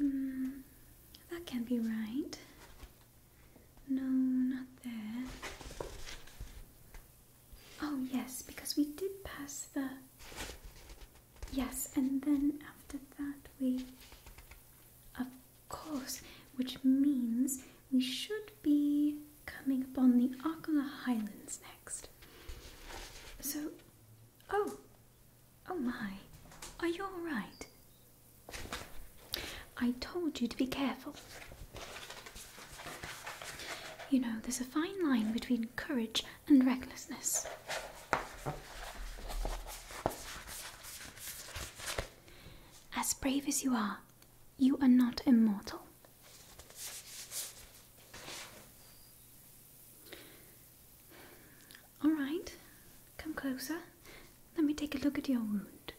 Mm, that can't be right. No, not there. Oh, yes, because we did pass the. Yes, and then after that we. Of course, which means we should be coming upon the Arcola Highlands next. So, oh, Oh my, are you alright? I told you to be careful. You know, there's a fine line between courage and recklessness. As brave as you are, you are not immortal. All right, come closer. Let me take a look at your wound.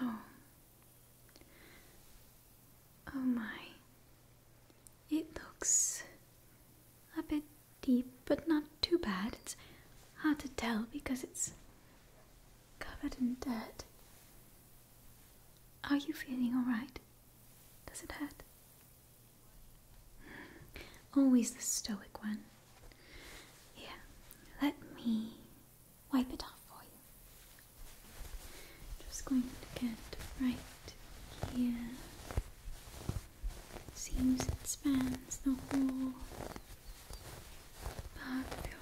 Oh. Oh my. It looks a bit deep, but not too bad. It's hard to tell because it's covered in dirt. Are you feeling alright? Does it hurt? Hmm. Always the stoic one. Here, let me wipe it off for you. Just going to get right here. Seems it spans the whole part of your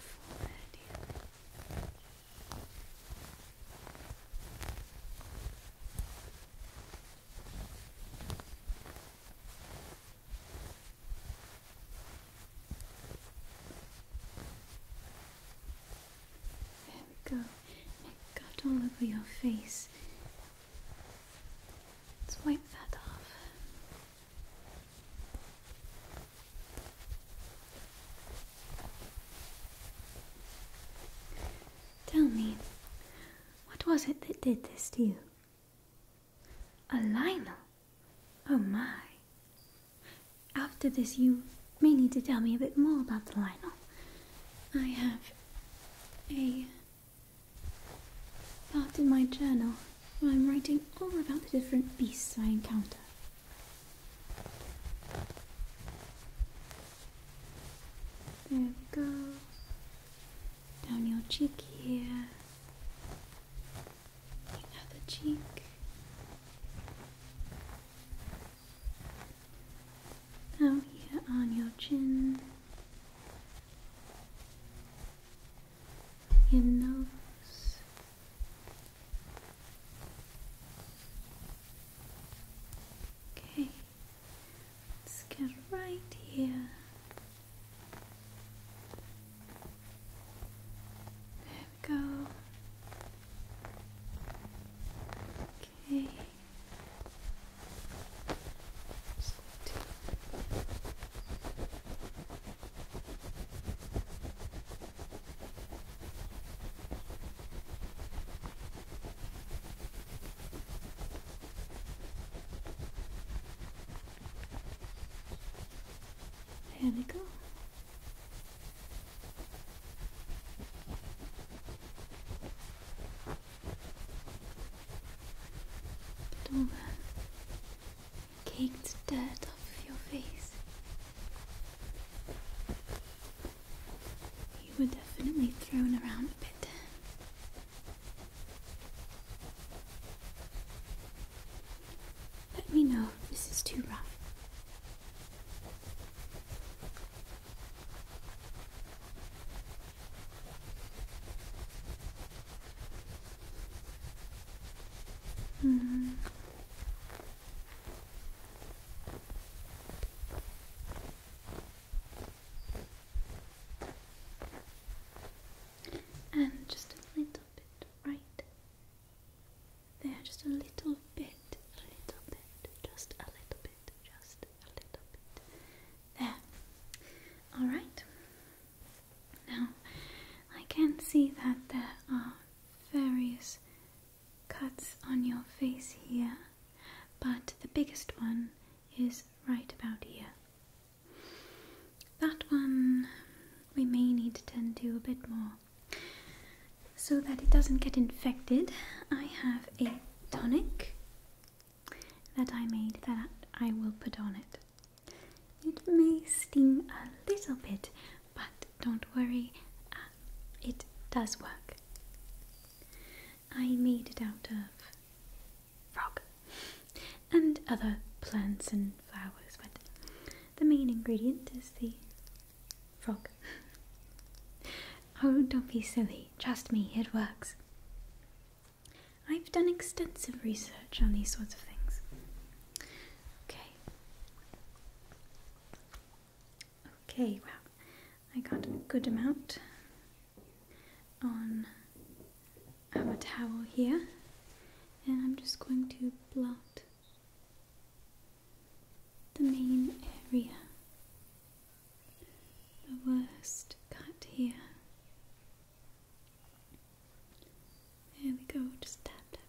there we go. It got all over your face. Let's wipe that off. Tell me, what was it that did this to you? A lionel? Oh my. After this, you may need to tell me a bit more about the lionel. I have a part in my journal where I'm writing all about the different beasts I encounter. There we go. Down your cheek here. Another cheek. Down here on your chin. Your nose. Okay, let's get right here. There we go. Okay. Just there we go. Get all the your face. You were definitely thrown around a bit. Let me know if this is too rough. Mm. And just a little bit right there, just a little bit, a little bit, just a little bit, just a little bit there. All right. Now I can see that there are various cuts on your face here, but the biggest one is right about here. That one we may need to tend to a bit more. So that it doesn't get infected, I have a tonic that I made that I will put on it. It may sting a little bit, but don't worry, uh, it does work. I made it out of frog and other plants and flowers, but the main ingredient is the frog. oh, don't be silly, trust me, it works. I've done extensive research on these sorts of things. Okay. Okay, well, I got a good amount on our towel here, and I'm just going to blot the main area, the worst cut here. There we go, just tap, tap,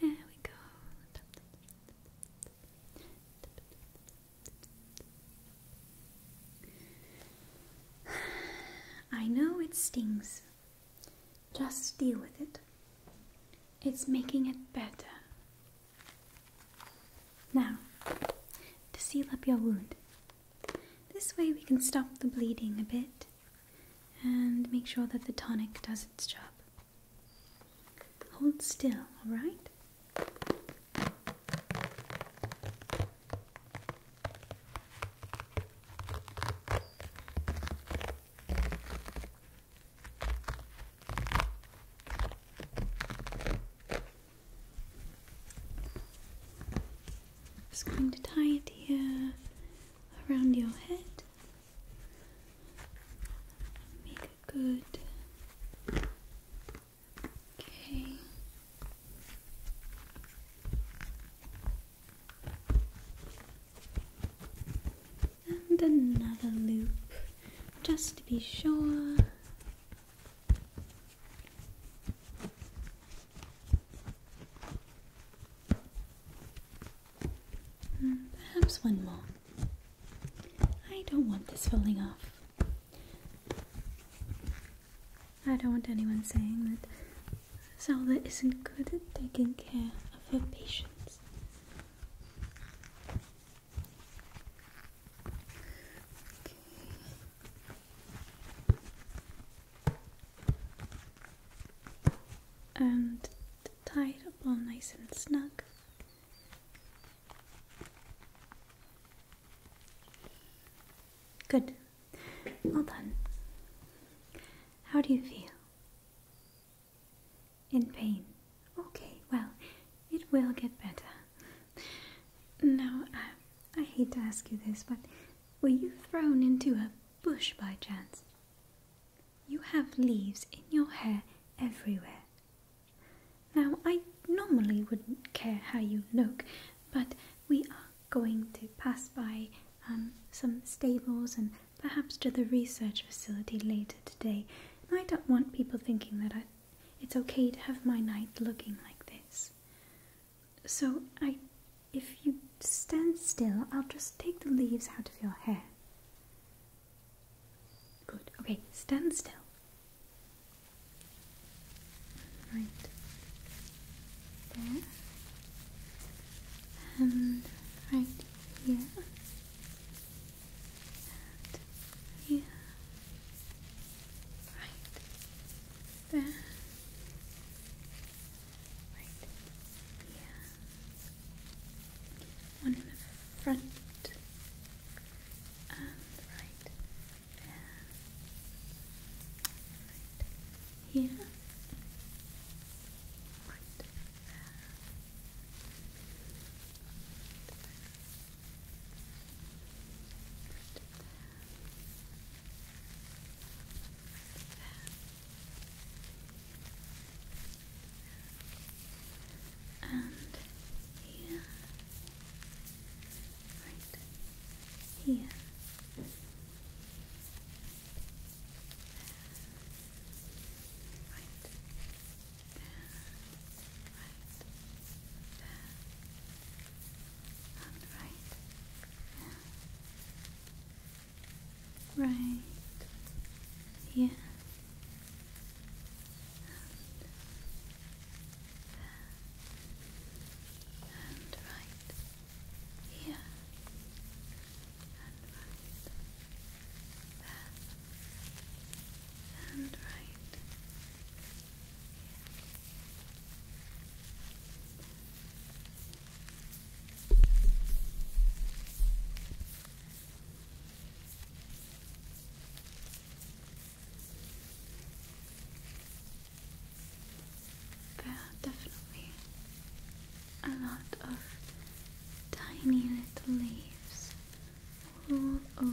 There we go. I know it stings. Just deal with it. It's making it better. Now, to seal up your wound. This way we can stop the bleeding a bit and make sure that the tonic does its job. Hold still, all right? Just going to tie it here around your head Make it good. Okay. And another loop, just to be sure. Hmm, perhaps one more. I don't want this falling off. I don't want anyone saying that Zelda isn't good at taking care of her patients. Okay. And the title all nice and snug. Good. Well done. How do you feel? In pain. Okay, well, it will get better. Now, I hate to ask you this, but were you thrown into a bush by chance? you have leaves in your hair everywhere. Now, I normally wouldn't care how you look, but we are going to pass by um, some stables and perhaps to the research facility later today, and I don't want people thinking that I, it's okay to have my night looking like this. So, I, if you stand still, I'll just take the leaves out of your hair. Good. Okay, stand still. Right. There. And right here. here. Right. There one in the front and right there right here right there Right there and here, right here. Right. There. Right. There. And right. There right Yeah. and, and right here and right there and right here. There are definitely a lot of tiny little leaves all over.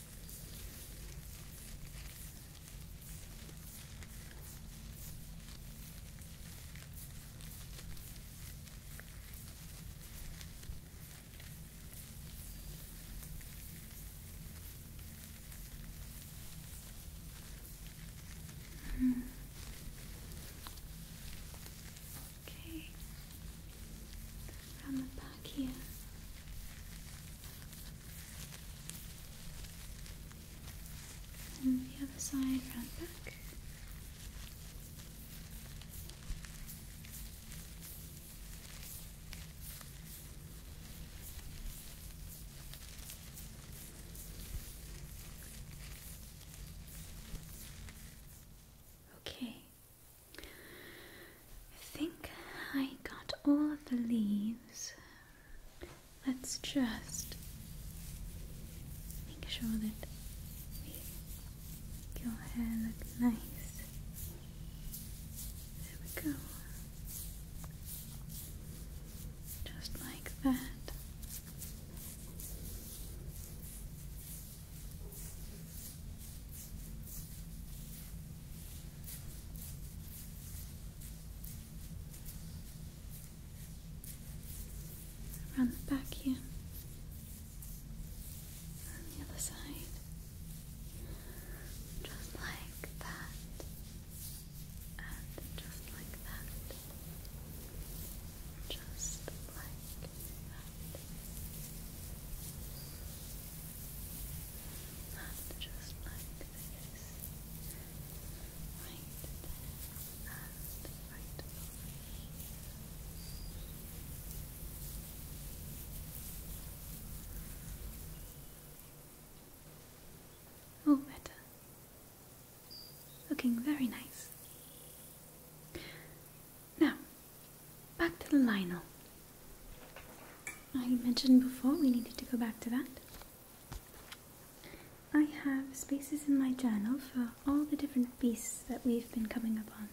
Mm. Okay, around the back here the other side round back. Okay. I think I got all the leaves. Let's just make sure that your hair looks nice. There we go. Just like that. Around the back here. On the other side. Just like that. And just like that. Just like that. And just like this. Right and right All oh, better. Looking very nice. Now, back to the lionel. I ah, mentioned before we needed to go back to that. I have spaces in my journal for all the different beasts that we've been coming upon.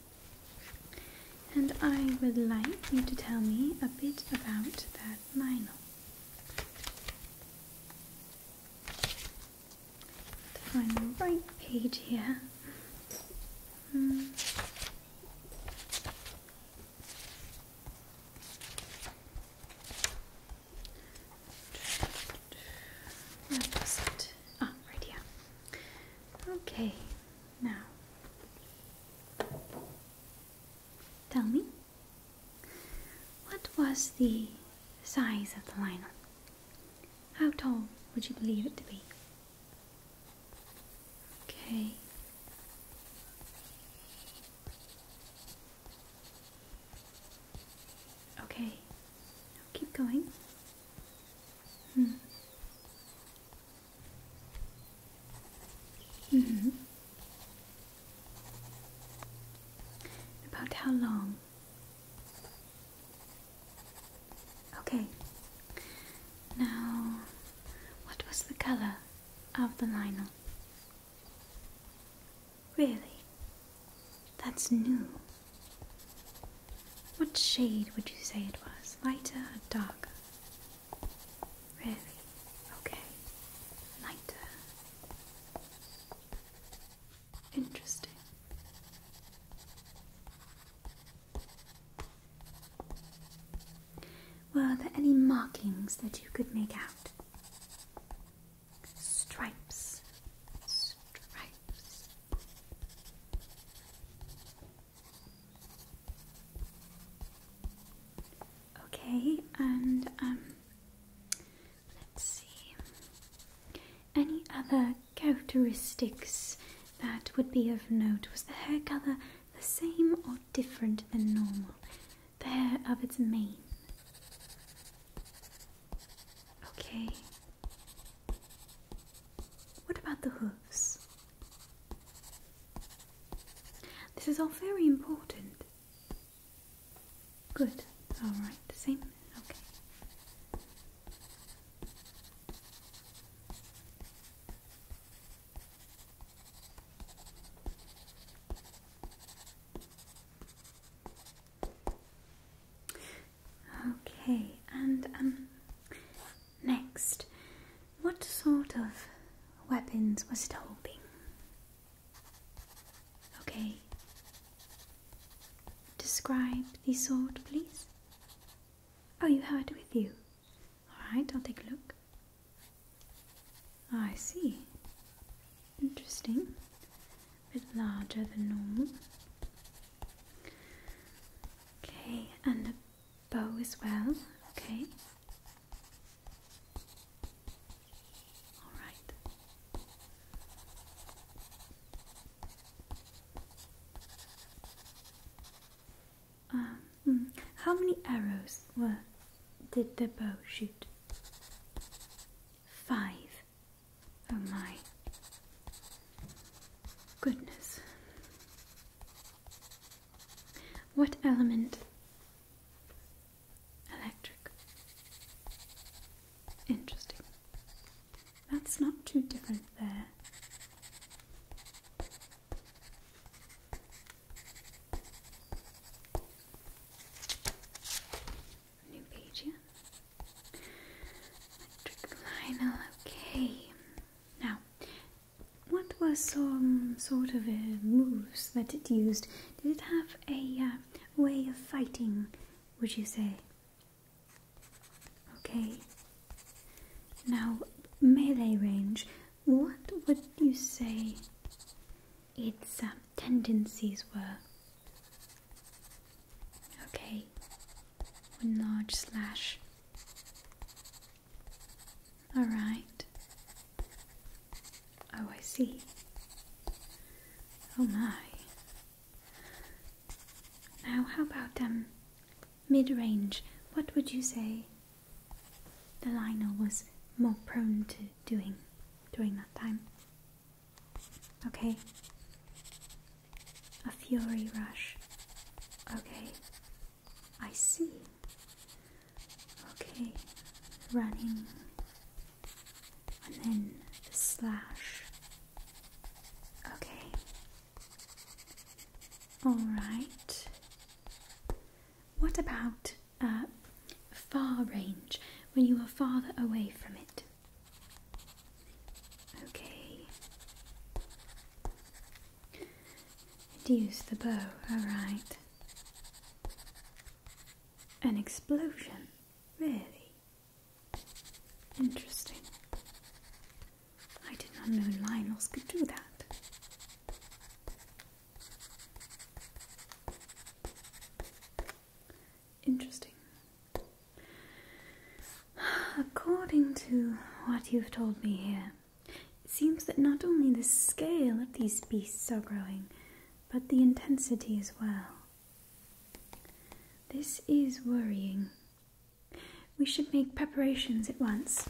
And I would like you to tell me a bit about that Lionel. Find the right page here. Mm. Ah, right here. Okay, now tell me what was the size of the lion? How tall would you believe it to be? Okay. Okay. Now keep going. Hmm. -hmm. About how long? Okay. Now what was the colour of the lino? Really? That's new. What shade would you say it was? Lighter or darker? Really? Okay. Lighter. Interesting. Were there any markings that you could make out? Stripes, stripes. Okay, and um, let's see. Any other characteristics that would be of note? Was the hair color the same or different than normal. The hair of its mane. Okay. What about the hooves? This is all very important. Good. Alright, the same. Okay. Okay, and um, next, what sort of weapons was it holding? Okay, describe the sword, please. Are oh, you hard with you. Alright, I'll take a look. Ah, I see. Interesting. bit larger than normal. Okay, and the bow as well. Okay. Alright. Um, hmm. How many arrows were did the bow shoot? Five. Oh my goodness. What element? Electric. Interesting. That's not too different there. New page, yeah. Metric okay. Now, what were some sort of uh, moves that it used? Did it have a uh, way of fighting, would you say? Okay, now, melee range, what would you say its uh, tendencies were? Okay, one large slash. Alright. Oh, I see. Oh my. Now, how about um, mid range, what would you say the Lionel was more prone to doing during that time? Okay. A fury rush. Okay. I see. Okay. Running. And then slash. Okay. All right. What about uh, far range when you are farther away from it? Okay. Use the bow, alright. An explosion, really? Interesting. I did not know lions could do that. Interesting. According to what you've told me here, it seems that not only the scale of these beasts are growing, but the intensity as well. This is worrying. We should make preparations at once.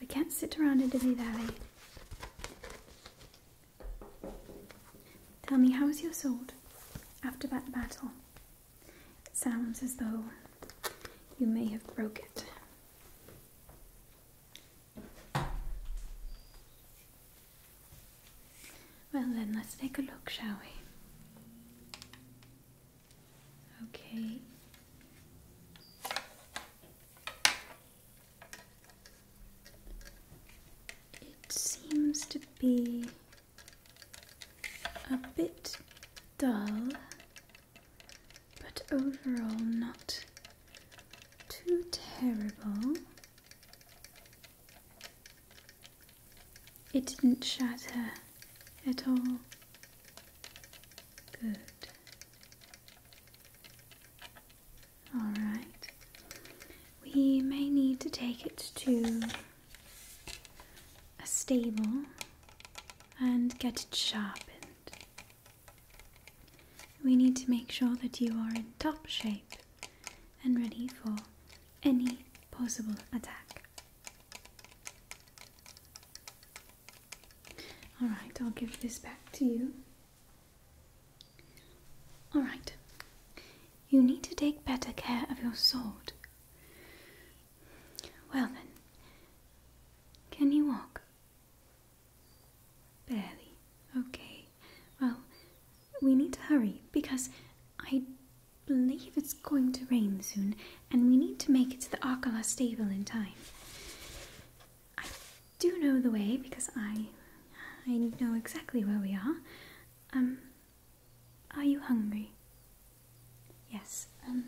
We can't sit around in Dilly Valley. Tell me, how is your sword after that battle? It sounds as though you may have broke it. Well, then, let's take a look, shall we? Okay. It seems to be a bit dull, but overall not too terrible. It didn't shatter at all? Good. Alright. We may need to take it to a stable and get it sharpened. We need to make sure that you are in top shape and ready for any possible attack. Alright, I'll give this back to you. Alright, you need to take better care of your sword. Well then, can you walk? Barely. Okay. Well, we need to hurry because I believe it's going to rain soon and we need to make it to the Akala stable in time. I do know the way because I I know exactly where we are. Um are you hungry? Yes. Um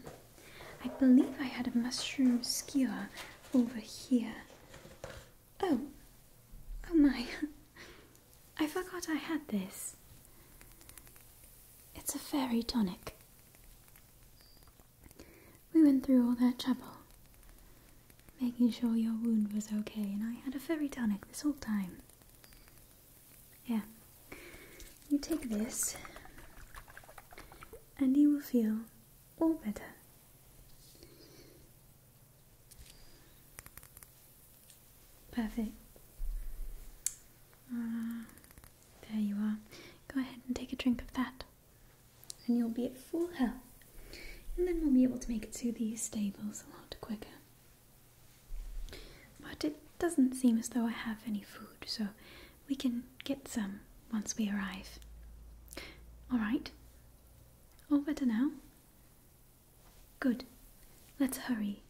I believe I had a mushroom skewer over here. Oh. Oh my. I forgot I had this. It's a fairy tonic. We went through all that trouble, making sure your wound was okay, and I had a fairy tonic this whole time. Yeah. You take this, and you will feel all better. Perfect. Uh, there you are. Go ahead and take a drink of that, and you'll be at full health. And then we'll be able to make it to the stables a lot quicker. But it doesn't seem as though I have any food, so we can get some once we arrive. Alright. All better now? Good. Let's hurry.